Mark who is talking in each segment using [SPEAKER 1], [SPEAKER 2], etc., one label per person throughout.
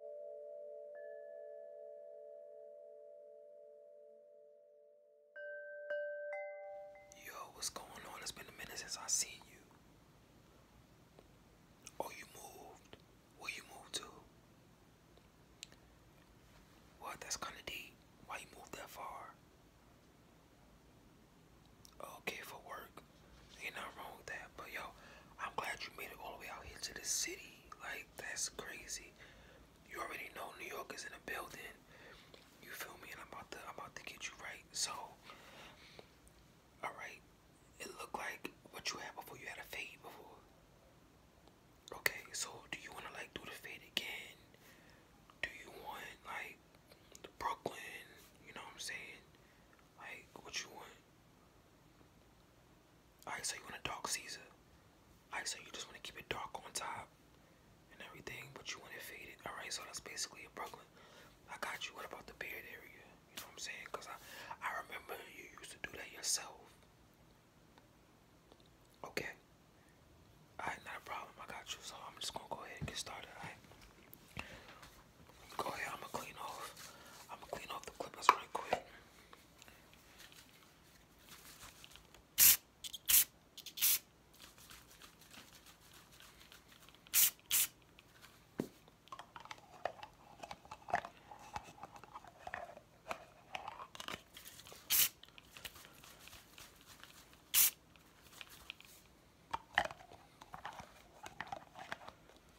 [SPEAKER 1] Yo, what's going on? It's been a minute since I seen you. Oh, you moved. Where you moved to? What? That's kind of deep. Why you moved that far? Okay, for work. Ain't nothing wrong with that. But yo, I'm glad you made it all the way out here to the city. Like, that's crazy. You already know New York is in a building. You feel me? And I'm about to I'm about to get you right. So Alright. It looked like what you had before you had a fade before. Okay, so do you wanna like do the fade again? Do you want like Brooklyn? You know what I'm saying? Like, what you want? Alright, so you want a dark Caesar. Alright, so you just want to keep it dark on top and everything, but you want it faded. Alright, so that's basically a Brooklyn. I got you. What about the beard area? You know what I'm saying? Because I, I remember you used to do that yourself. Okay. Alright, not a problem. I got you. So I'm just going to go ahead and get started. Alright go ahead. I'm gonna clean off. I'm gonna clean off the clippers right quick.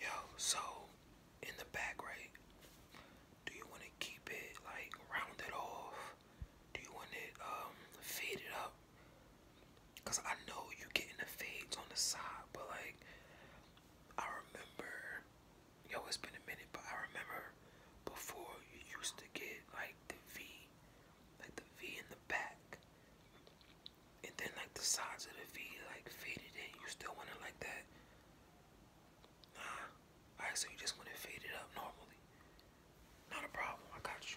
[SPEAKER 1] Yo, so in the back, right? Do you want to keep it like rounded off do you want um, it faded up? Cause I know you getting the fades on the side, but like I remember, yo, it's been a minute, but I remember before you used to get like the V, like the V in the back, and then like the sides of the V like faded in. You still want it like that? Nah. Alright, so you just want it faded up normally. Not a problem. I got you.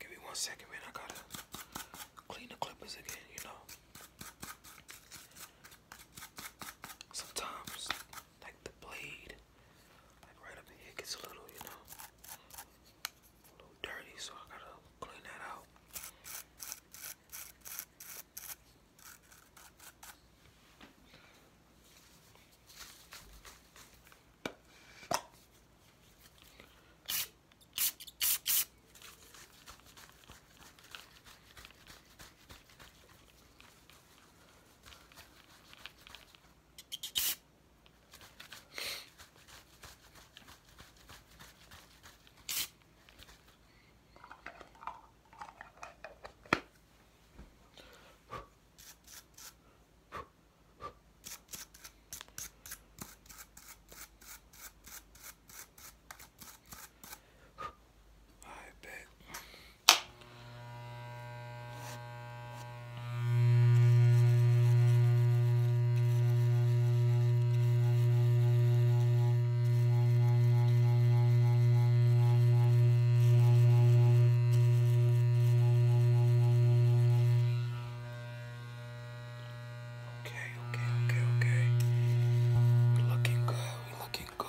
[SPEAKER 1] Give me one second, man. I gotta clean the clippers again, you know. Sometimes, like the blade, like right up here, gets a little, you know a little dirty, so I gotta clean that out. I bet Okay, okay, okay, okay. We're looking good, we're looking good.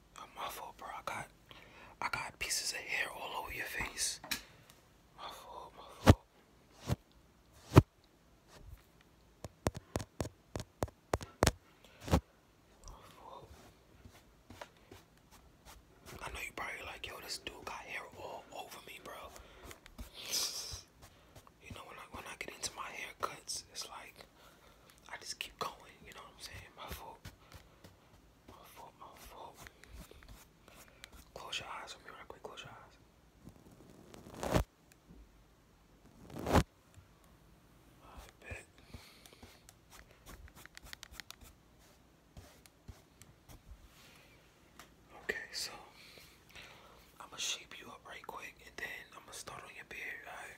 [SPEAKER 1] Oh, my fault, bro. I got, I got pieces of hair all over your face. My fault, my fault. I know you probably like, yo, this dude got hair all over me, bro. You know, when I when I get into my haircuts, it's like I just keep going. You know what I'm saying? My fault. Mouthful, mouthful. Close your eyes for me real quick. Close your eyes. Okay, so I'm gonna shape you up right quick and then I'm gonna start on your beard, alright?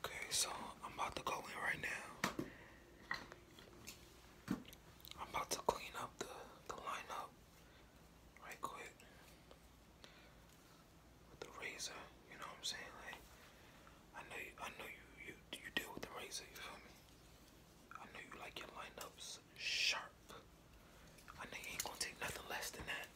[SPEAKER 1] Okay, so I'm about to go in right now. I'm about to clean up the, the lineup right quick with the razor. You know what I'm saying? Like I know you, I know you you you deal with the razor. You feel me? I know you like your lineups sharp. I know you ain't gonna take nothing less than that.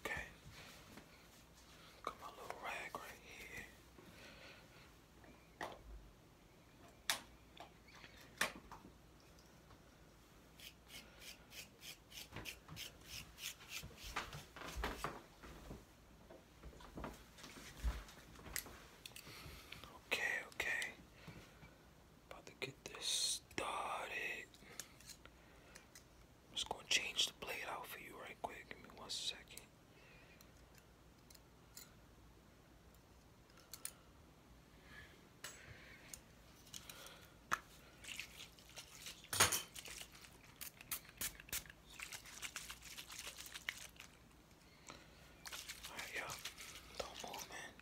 [SPEAKER 1] Okay. Got my little rag right here. Okay, okay. About to get this started. just gonna change the blade out for you right quick. Give me one second. Alright, yo. Don't move, man.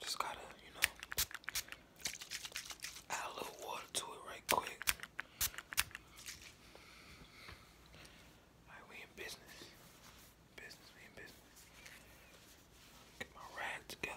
[SPEAKER 1] Just gotta, you know, add a little water to it right quick. Alright, we in business. Business, we in business. Get my rag together.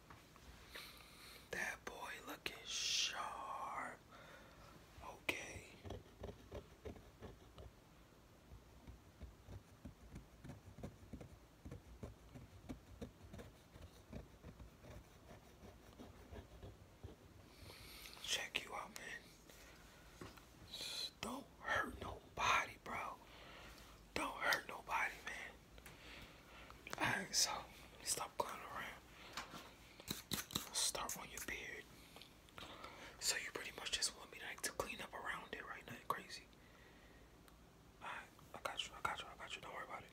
[SPEAKER 1] That boy looking sharp. Okay. Check you out, man. don't hurt nobody, bro. Don't hurt nobody, man. Alright, so stop clowning around. Start on your beard. So you pretty much just want me like to clean up around it, right? Nothing crazy. Alright, I got you, I got you, I got you. Don't worry about it.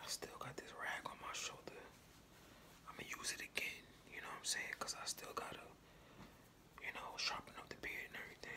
[SPEAKER 1] I still got this rag on my shoulder. I'ma use it again, you know what I'm saying? Cause I still gotta, you know, sharpen up the beard and everything.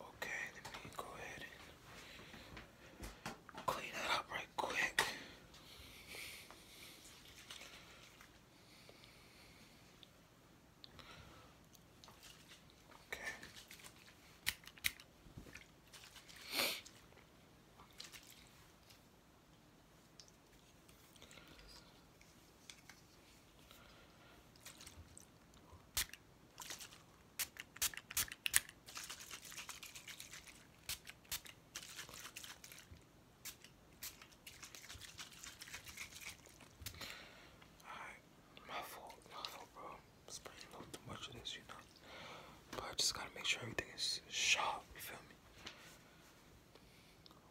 [SPEAKER 2] Okay, let me go ahead and clean that up right quick. Okay
[SPEAKER 1] my fault, my fault, bro. Spraying a little too much of this, you know. But I just gotta make sure everything is sharp, you feel me?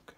[SPEAKER 1] Okay.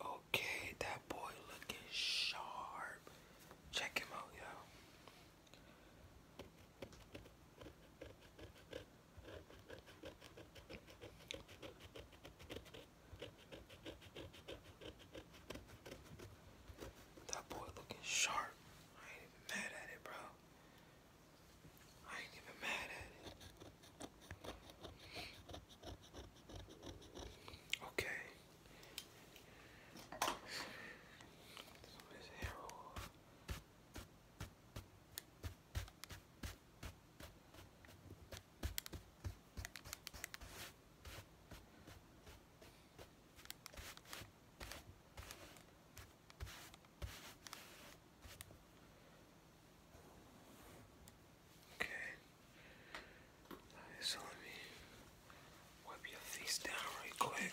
[SPEAKER 1] Okay, that boy looking sharp. Check him out, you that boy looking sharp. I ain't even mad at it, bro. I ain't even mad at it. Okay. this hair off. Okay. Right, so let me wipe your face down right quick.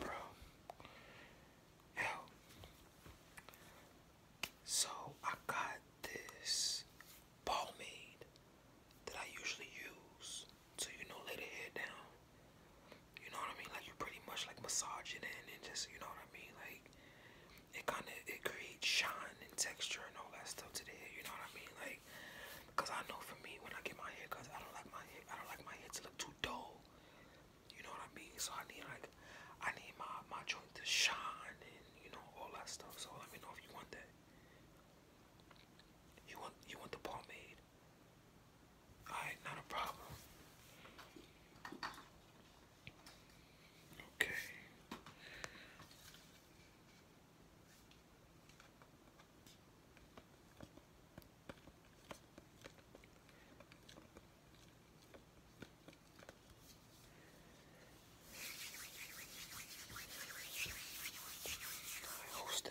[SPEAKER 1] Bro. Yo. So I got this pomade that I usually use So you know, lay the head down. You know what I mean? Like you pretty much like massage it in and just, you know what I mean? Like it kind of it creates shine and texture and all that stuff Today, You know what I mean? Like, cause I know for me when I get my hair cause I don't like my hair. I don't like my hair to look too dull. You know what I mean? So I need like I need my my joint to shine and you know all that stuff. So let me know if you want that. You want you want the pomade? Alright, not a problem. Okay. Hold still,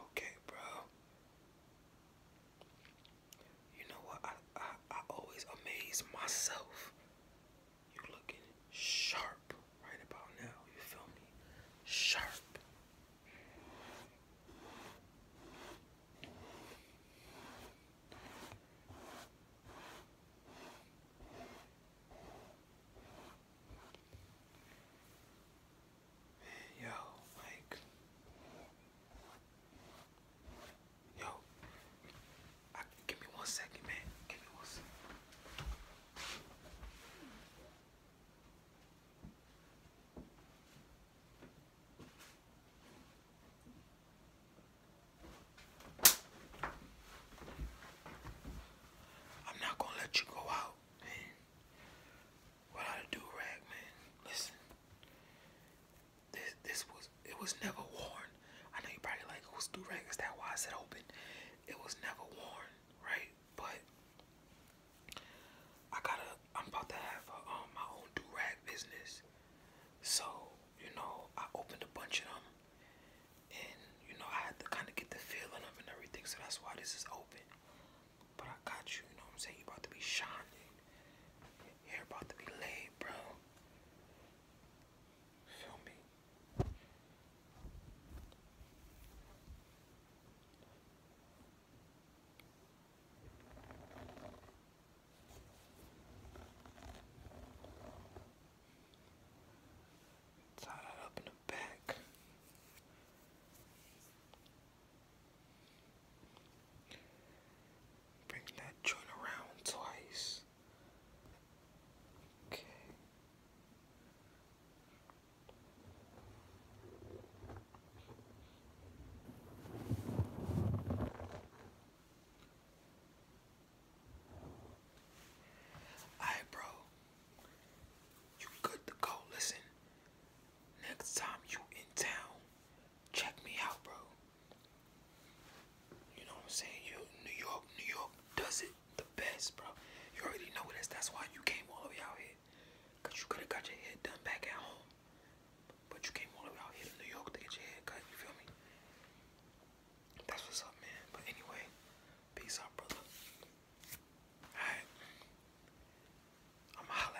[SPEAKER 1] Okay, bro. You know what? I I, I always amaze myself. You looking sharp right about now. You feel me? Sharp. Yo, like, yo, give me one second, man. Give me one second. I'm not gonna let you go out, man. Without a do rag, man. Listen. This this was it was never worn. I know you probably like who's do is that why I open? It was never worn right? But I gotta, I'm about to have um, my own do rag business. So, you know, I opened a bunch of them and, you know, I had to kind of get the feel of and everything. So that's why this is open. But I got you, you know I'm saying? you about to be shining. You're about to be laid, bro. Feel me? Tie that up in the back. Bring that joint around twice. Okay. Alright, bro. You good to go. Listen, next time you in town, check me out, bro. You know what I'm saying? You New York, New York does it the best, bro. You already know this. That's why you came all the way out here. Cause you could have got your hair done back at home. But you came all the way out here to New York to get your hair cut, you feel me? That's what's up, man. But anyway, peace out, brother. Alright. i am holla